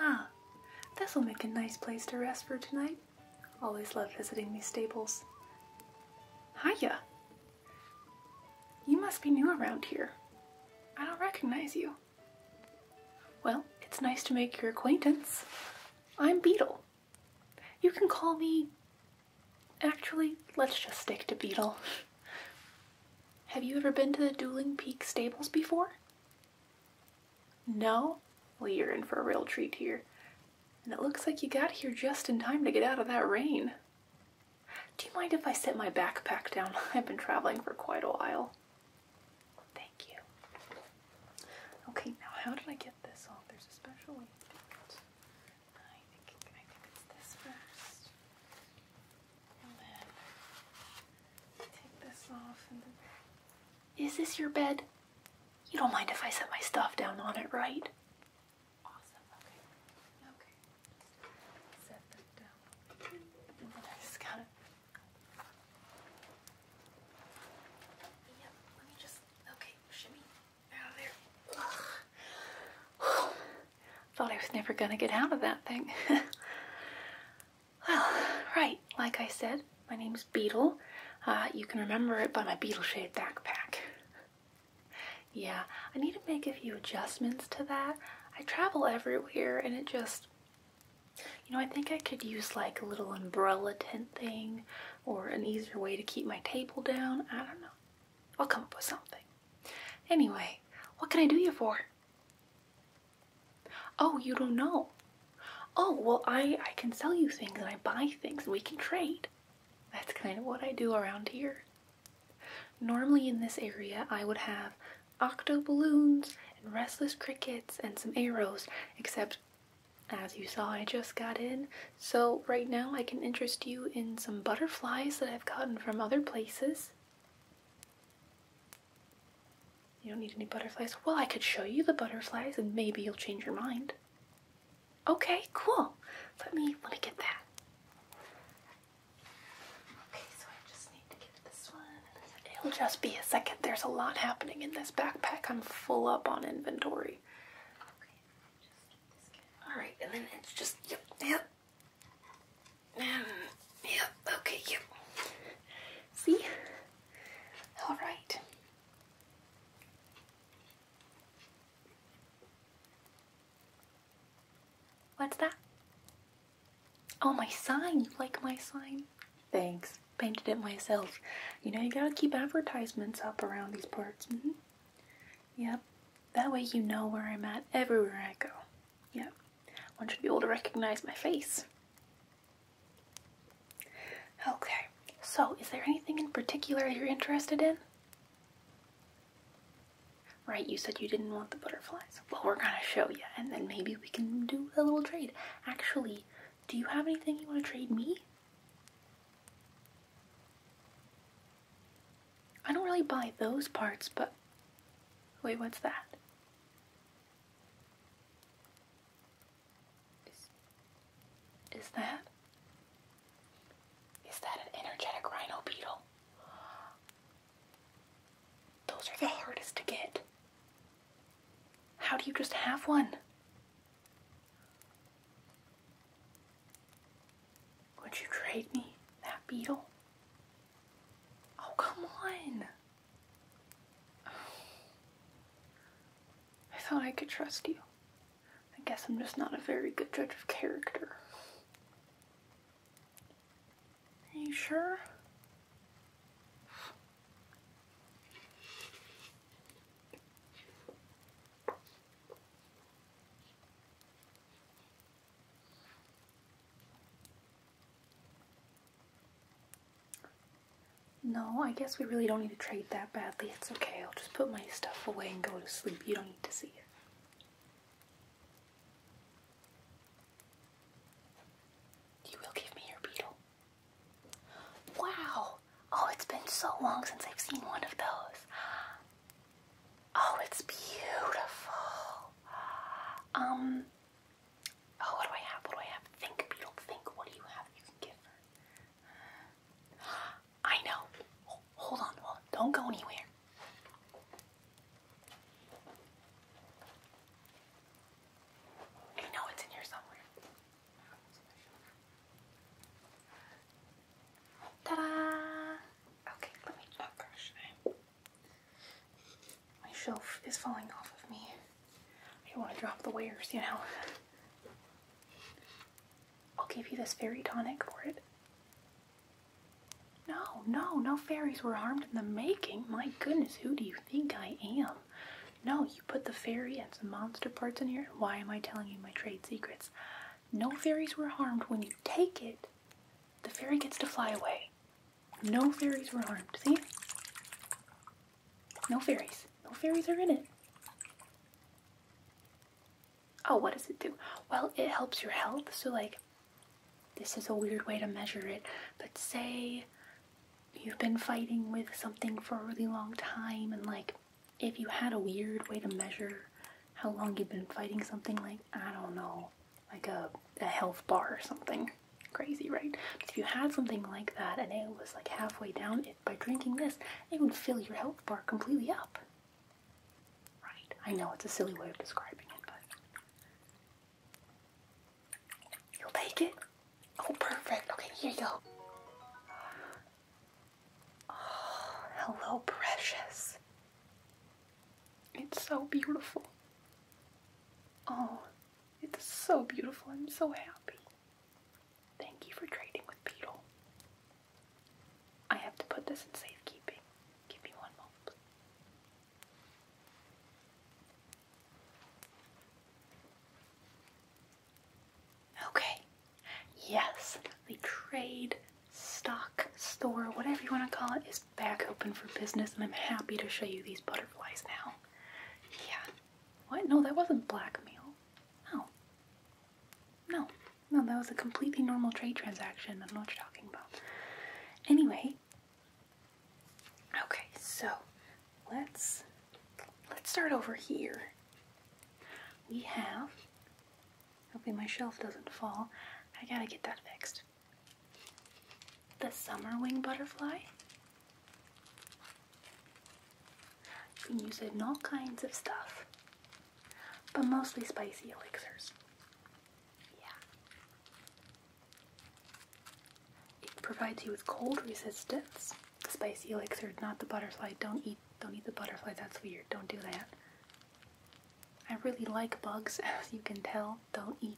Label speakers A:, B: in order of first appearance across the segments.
A: ah, this'll make a nice place to rest for tonight. Always love visiting these stables. Hiya! You must be new around here. I don't recognize you. Well, it's nice to make your acquaintance. I'm Beetle. You can call me. Actually, let's just stick to Beetle. Have you ever been to the Dueling Peak Stables before? No? Well, you're in for a real treat here. And it looks like you got here just in time to get out of that rain. Do you mind if I set my backpack down? I've been traveling for quite a while. Thank you. Okay, now how did I get this off? There's a special way I think, I think it's this first. Is this your bed? You don't mind if I set my stuff down on it, right? Awesome. Okay. Okay. Set that down. And then I just gotta. Yep. Let me just. Okay. Shimmy out there. Thought I was never going to get out of that thing. well, right, like I said, my name's Beetle. Uh, you can remember it by my beetle shaped backpack. yeah, I need to make a few adjustments to that. I travel everywhere and it just, you know, I think I could use like a little umbrella tent thing or an easier way to keep my table down. I don't know. I'll come up with something. Anyway, what can I do you for? Oh, you don't know. Oh, well, I, I can sell you things and I buy things. We can trade. That's kind of what I do around here. Normally in this area, I would have octo balloons and restless crickets and some arrows, except as you saw, I just got in. So right now I can interest you in some butterflies that I've gotten from other places. You don't need any butterflies? Well, I could show you the butterflies and maybe you'll change your mind. Okay, cool. Let me let me get that. Okay, so I just need to get this one. It'll just be a second. There's a lot happening in this backpack. I'm full up on inventory. All right, and then it's just yep. Um, yep, okay, yep. See? Alright. What's that? Oh, my sign. You like my sign? Thanks. Painted it myself. You know, you gotta keep advertisements up around these parts. Mm-hmm. Yep. That way you know where I'm at everywhere I go. Yeah. I want you to be able to recognize my face. Okay, so is there anything in particular you're interested in? Right, you said you didn't want the butterflies. Well, we're gonna show you, and then maybe we can do a little trade. Actually, do you have anything you want to trade me? I don't really buy those parts, but wait, what's that? is that? Is that an energetic rhino beetle? Those are the hardest to get. How do you just have one? Would you trade me that beetle? Oh, come on. I thought I could trust you. I guess I'm just not a very good judge of character. Are you sure? No, I guess we really don't need to trade that badly. It's okay. I'll just put my stuff away and go to sleep. You don't need to see it. You will give me your beetle. Wow! Oh, it's been so long since I've seen one of those. Oh, it's beautiful. Um, oh, what do I have? What do I have? Think, Beetle, think. What do you have I know. hold on. Don't go anywhere. I know it's in here somewhere. Ta-da! Okay, let me. Oh my shelf is falling off of me. I don't want to drop the wares, you know. I'll give you this fairy tonic for it. No, no, no fairies were harmed in the making. My goodness, who do you think I am? No, you put the fairy and some monster parts in here. Why am I telling you my trade secrets? No fairies were harmed when you take it. The fairy gets to fly away. No fairies were harmed, see? No fairies. No fairies are in it. Oh, what does it do? Well, it helps your health, so like, this is a weird way to measure it, but say you've been fighting with something for a really long time and like, if you had a weird way to measure how long you've been fighting something like, I don't know, like a, health bar or something. Crazy, right? if you had something like that and it was like halfway down, it, by drinking this, it would fill your health bar completely up. Right? I know it's a silly way of describing it, but. You'll take it? Oh, perfect. Okay, here you go. Oh, hello, precious. It's so beautiful. Oh, it's so beautiful. I'm so happy. Thank you for trading with Beetle. I have to put this in safekeeping. Give me one moment. Please. Okay, Yes, the trade stock store, whatever you want to call it, is back open for business, and I'm happy to show you these butterflies now. Yeah. What? No, that wasn't blackmail. No. No. No, that was a completely normal trade transaction. I don't what you're talking about. Anyway. Okay, so let's let's start over here. We have Hoping my shelf doesn't fall. I gotta get that fixed. The summer wing butterfly. You can use it in all kinds of stuff, but mostly spicy elixirs. Yeah. It provides you with cold resistance. spicy elixir, not the butterfly. Don't eat don't eat the butterfly, that's weird. Don't do that. I really like bugs, as you can tell. Don't eat.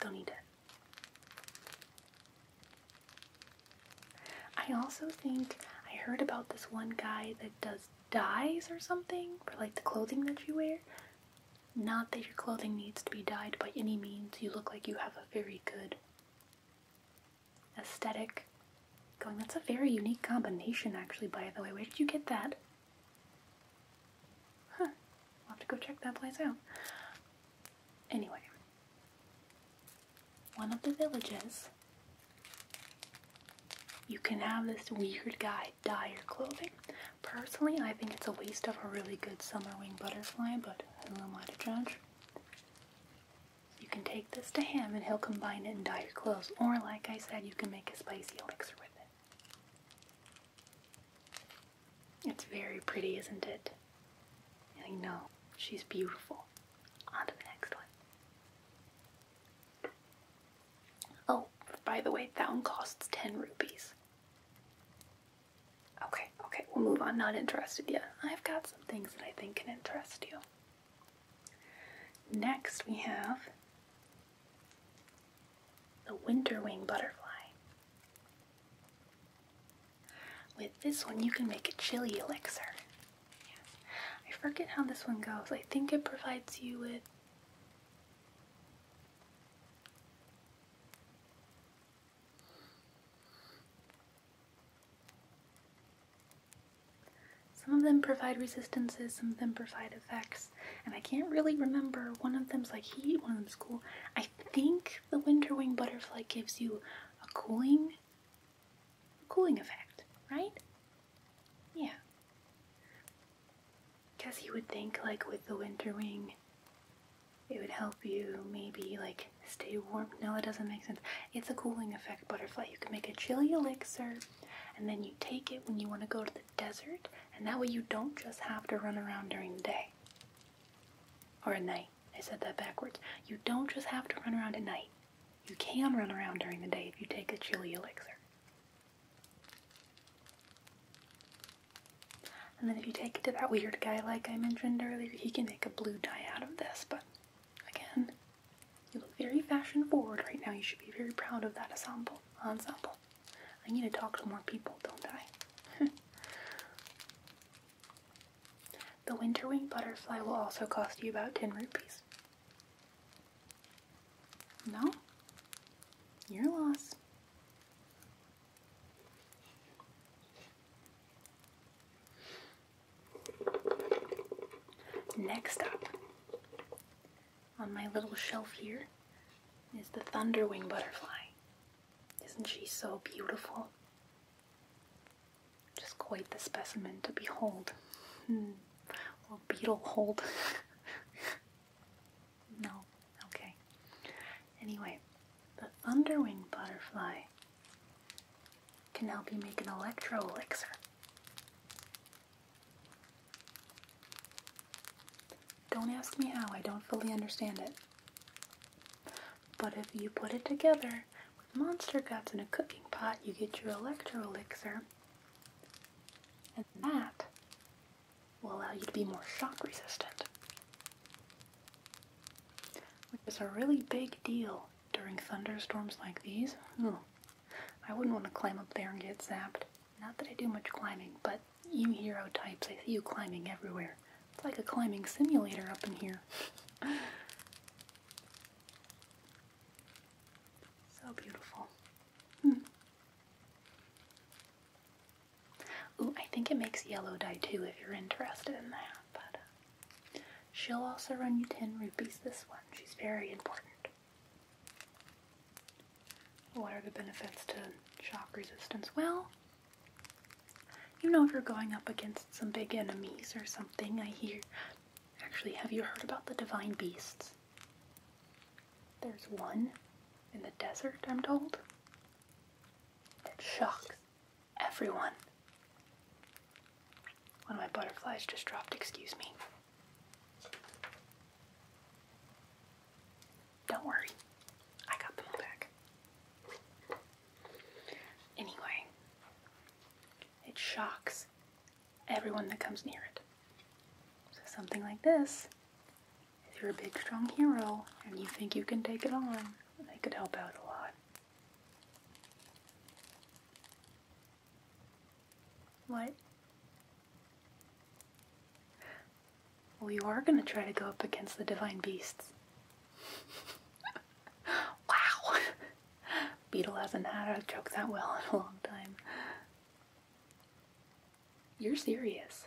A: Don't eat it. I also think I heard about this one guy that does dyes or something for like the clothing that you wear. Not that your clothing needs to be dyed by any means. You look like you have a very good aesthetic going. That's a very unique combination, actually, by the way. Where did you get that? Huh. I'll have to go check that place out. Anyway, one of the villages, you can have this weird guy dye your clothing. Personally, I think it's a waste of a really good summer wing butterfly, but who am I to judge? You can take this to him and he'll combine it and dye your clothes. Or, like I said, you can make a spicy elixir with it. It's very pretty, isn't it? I know. She's beautiful. On to the next one. Oh, by the way, that one costs 10 rupees. Okay, okay, we'll move on. Not interested yet. I've got some things that I think can interest you. Next, we have the winterwing butterfly. With this one, you can make a chili elixir. I forget how this one goes. I think it provides you with some of them provide resistances, some of them provide effects, and I can't really remember. One of them's like heat, one of them's cool. I think the winter wing butterfly gives you a cooling, cooling effect, right? Yeah. Guess you would think like with the winter wing, it would help you maybe like stay warm. No, it doesn't make sense. It's a cooling effect. Butterfly. You can make a chilly elixir and then you take it when you want to go to the desert, and that way you don't just have to run around during the day or at night. I said that backwards. You don't just have to run around at night. You can run around during the day if you take a chilly elixir. And then if you take it to that weird guy like I mentioned earlier, he can make a blue dye out of this, but Again, you look very fashion forward right now. You should be very proud of that ensemble. Ensemble. I need to talk to more people, don't I? the winter wing butterfly will also cost you about 10 rupees. No? You're lost. Next up on my little shelf here is the thunderwing butterfly. Isn't she so beautiful? Just quite the specimen to behold. Hmm. Or beetle hold. no, okay. Anyway, the thunderwing butterfly can help you make an electro elixir. Don't ask me how, I don't fully understand it. But if you put it together with monster guts in a cooking pot, you get your electro elixir. And that will allow you to be more shock resistant. Which is a really big deal during thunderstorms like these. I wouldn't want to climb up there and get zapped. Not that I do much climbing, but you hero types, I see you climbing everywhere. It's like a climbing simulator up in here. so beautiful. Hmm. Ooh, I think it makes yellow dye too if you're interested in that, but uh, She'll also run you 10 rupees this one. She's very important. What are the benefits to shock resistance? Well, you know if you're going up against some big enemies or something, I hear. Actually, have you heard about the divine beasts? There's one in the desert, I'm told, that shocks everyone. One of my butterflies just dropped, excuse me. Don't worry, I got them back. Anyway, it shocks everyone that comes near it. So, something like this if you're a big, strong hero and you think you can take it on, they could help out a lot. What? Well, you are going to try to go up against the divine beasts. wow. Beetle hasn't had a joke that well in a long time. You're serious.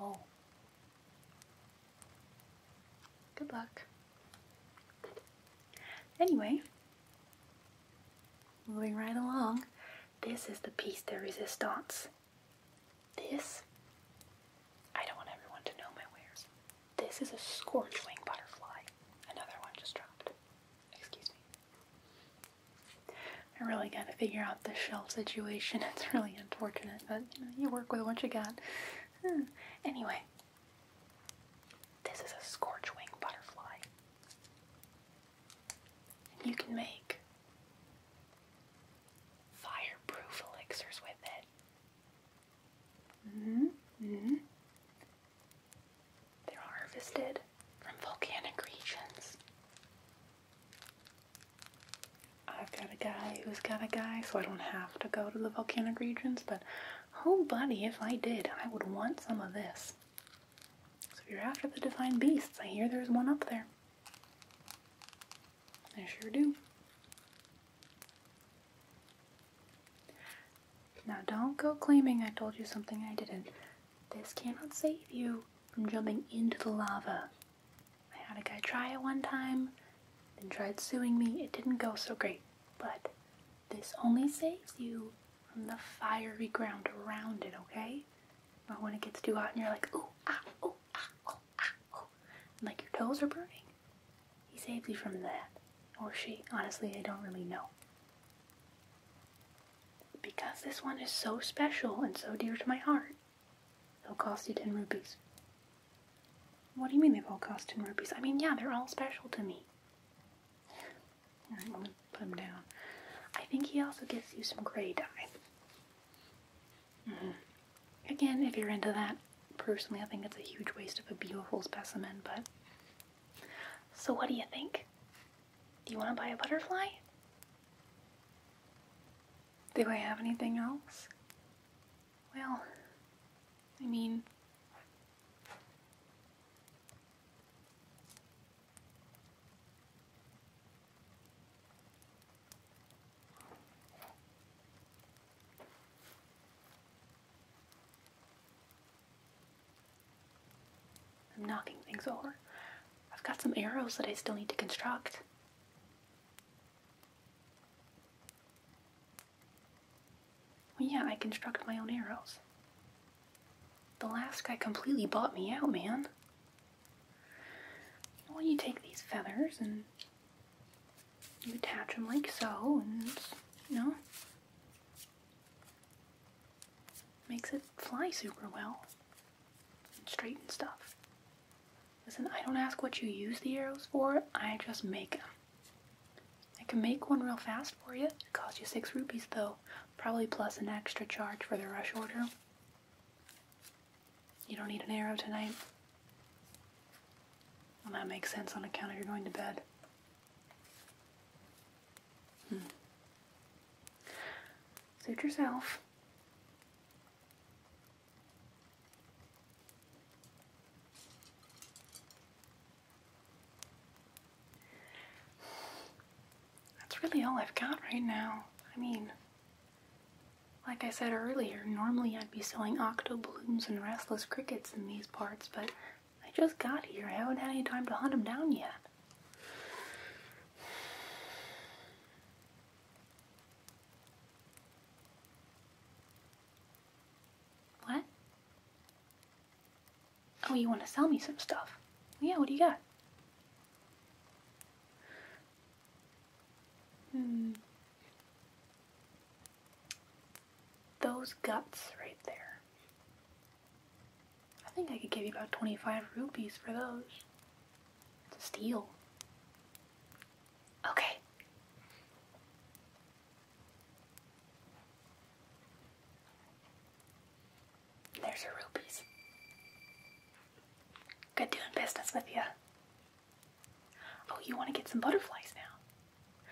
A: Oh. Good luck. Anyway, moving right along, this is the piece de resistance. This, I don't want everyone to know my wares. This is a scorch wing butterfly. Another one just dropped. Excuse me. I really gotta figure out the shelf situation. It's really unfortunate, but you work with what you got. Hmm. Anyway, this is a scorchwing butterfly. And you can make fireproof elixirs with it. Mm -hmm. They're harvested from volcanic regions. I've got a guy who's got a guy, so I don't have to go to the volcanic regions, but Oh, buddy, if I did, I would want some of this. So if you're after the divine beasts, I hear there's one up there. I sure do. Now don't go claiming I told you something I didn't. This cannot save you from jumping into the lava. I had a guy try it one time, and tried suing me. It didn't go so great. But this only saves you from the fiery ground around it, okay? Or when it gets too hot and you're like, ooh, ah, ooh, ah, oh, ah, oh, and like your toes are burning. He saves you from that. Or she. Honestly, I don't really know. Because this one is so special and so dear to my heart, it'll cost you 10 rupees. What do you mean they've all cost 10 rupees? I mean, yeah, they're all special to me. i put him down. I think he also gives you some gray dye. Mm-hmm. Again, if you're into that, personally, I think it's a huge waste of a beautiful specimen, but. So, what do you think? Do you want to buy a butterfly? Do I have anything else? Well, I mean, I'm knocking things over. I've got some arrows that I still need to construct yeah, I construct my own arrows. The last guy completely bought me out, man. Well, you take these feathers and you attach them like so, and you know, makes it fly super well and straighten stuff. Listen, I don't ask what you use the arrows for, I just make them. I can make one real fast for you. It costs you six rupees though, probably plus an extra charge for the rush order. You don't need an arrow tonight. Well, that makes sense on account of you going to bed. Hmm. Suit yourself. That's really all I've got right now. I mean, like I said earlier, normally I'd be selling octo blooms and restless crickets in these parts, but I just got here. I haven't had any time to hunt them down yet. What? Oh, you want to sell me some stuff? Yeah, what do you got? Hmm. Those guts right there. I think I could give you about 25 rupees for those. It's a steal. Okay. There's your rupees. Good doing business with you. Oh, you want to get some butterflies now?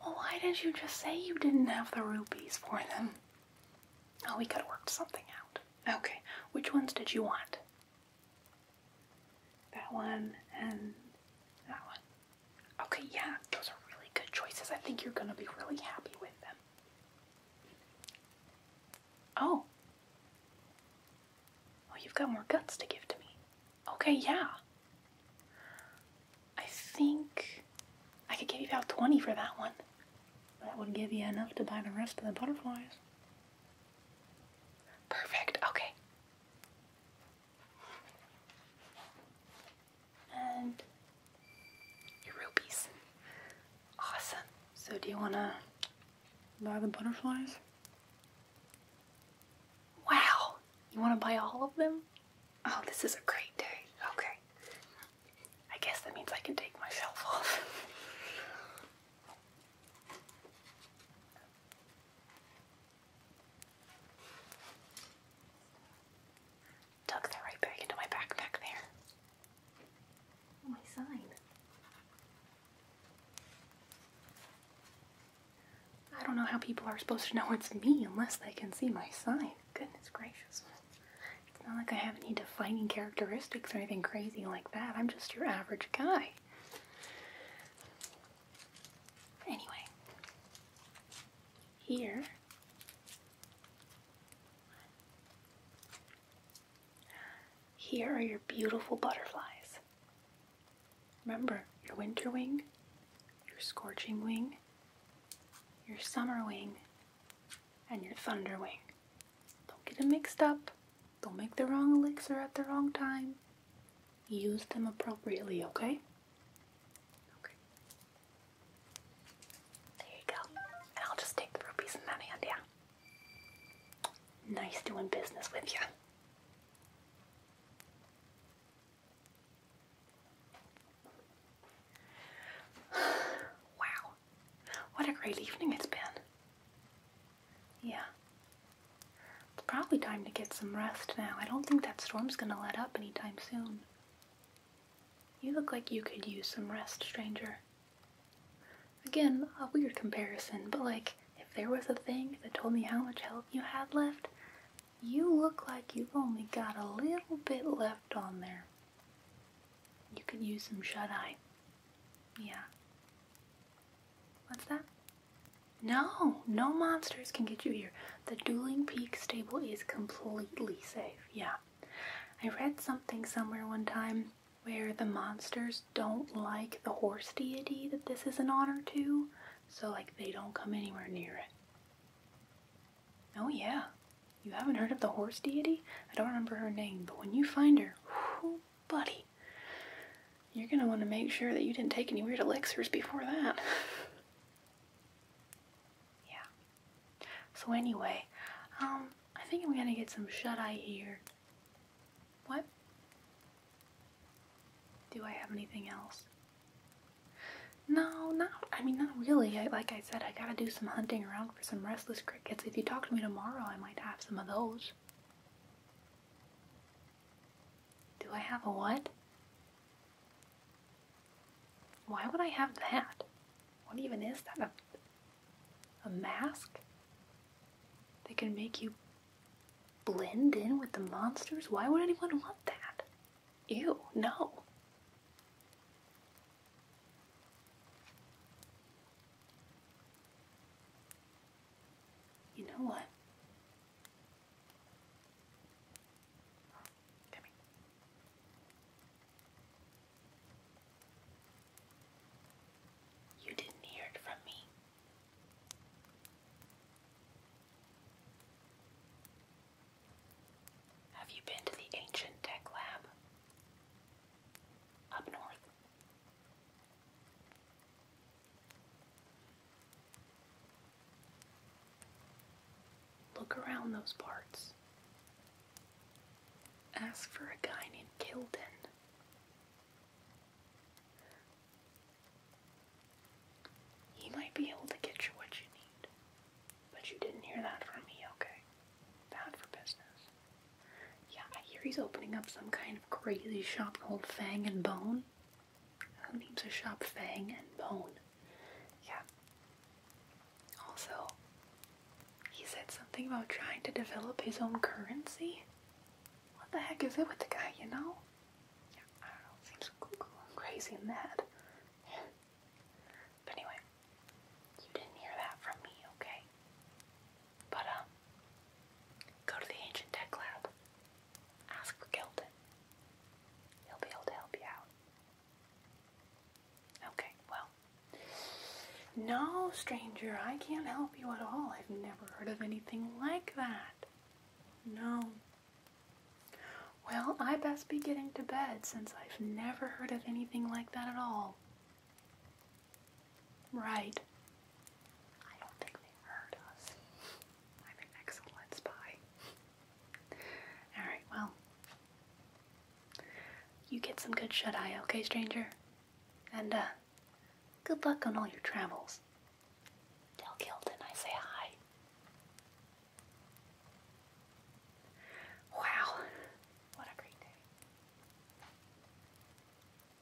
A: Well, why didn't you just say you didn't have the rupees for them? Oh, we could have worked something out. Okay, which ones did you want? That one and that one. Okay, yeah, those are really good choices. I think you're gonna be really happy with them. Oh. Oh, you've got more guts to give to me. Okay, yeah. I think I could give you about 20 for that one. That would give you enough to buy the rest of the butterflies. Perfect, okay and your Awesome. So do you wanna buy the butterflies? Wow! You wanna buy all of them? Oh, this is a great day. Okay. I guess that means I can take myself off. Tuck right back into my backpack there. Oh, my sign. I don't know how people are supposed to know it's me unless they can see my sign. Goodness gracious. It's not like I have any defining characteristics or anything crazy like that. I'm just your average guy. Anyway, here here are your beautiful butterflies. Remember your winter wing, your scorching wing, your summer wing, and your thunder wing. Don't get them mixed up. Don't make the wrong elixir at the wrong time. Use them appropriately, okay? Okay. There you go. And I'll just take the rupees in that hand, yeah. Nice doing business with you. wow. What a great evening it's been. Yeah. It's probably time to get some rest now. I don't think that storm's gonna let up anytime soon. You look like you could use some rest, stranger. Again, a weird comparison, but like, if there was a thing that told me how much help you had left, you look like you've only got a little bit left on there. You could use some shut-eye. Yeah. What's that? No, no monsters can get you here. The Dueling Peak stable is completely safe. Yeah. I read something somewhere one time where the monsters don't like the horse deity that this is an honor to, so like they don't come anywhere near it. Oh yeah. You haven't heard of the horse deity? I don't remember her name, but when you find her, buddy, you're going to want to make sure that you didn't take any weird elixirs before that. yeah. So anyway, um, I think I'm going to get some shut-eye here. What? Do I have anything else? No, not, I mean, not really. like I said, I gotta do some hunting around for some restless crickets. If you talk to me tomorrow, I might have some of those. Do I have a what? Why would I have that? What even is that? A, mask? That can make you blend in with the monsters? Why would anyone want that? You no. You know what? You didn't hear it from me. Have you been to the ancient tech lab up north? Look around those parts. Ask for a guy named Kilden. He might be able to get you what you need. But you didn't hear that from me, okay? Bad for business. Yeah, I hear he's opening up some kind of crazy shop called Fang and Bone. Who names a shop Fang and Bone? Yeah. Also, he said something about trying to develop his own currency. What the heck is it with the guy, you know? Yeah, I don't know. Seems crazy in that. But anyway, you didn't hear that from me, okay? But, um, go to the Ancient Tech Lab. Ask for Gildan. He'll be able to help you out. Okay, well. No, stranger, I can't help you at all. I've never heard of anything like that. No. Well, I best be getting to bed since I've never heard of anything like that at all. Right. I don't think they heard us. I'm an excellent spy. Alright, well. You get some good shut eye, okay, stranger? And, uh, good luck on all your travels. Tell Gildan I say hi. Wow, what a great day.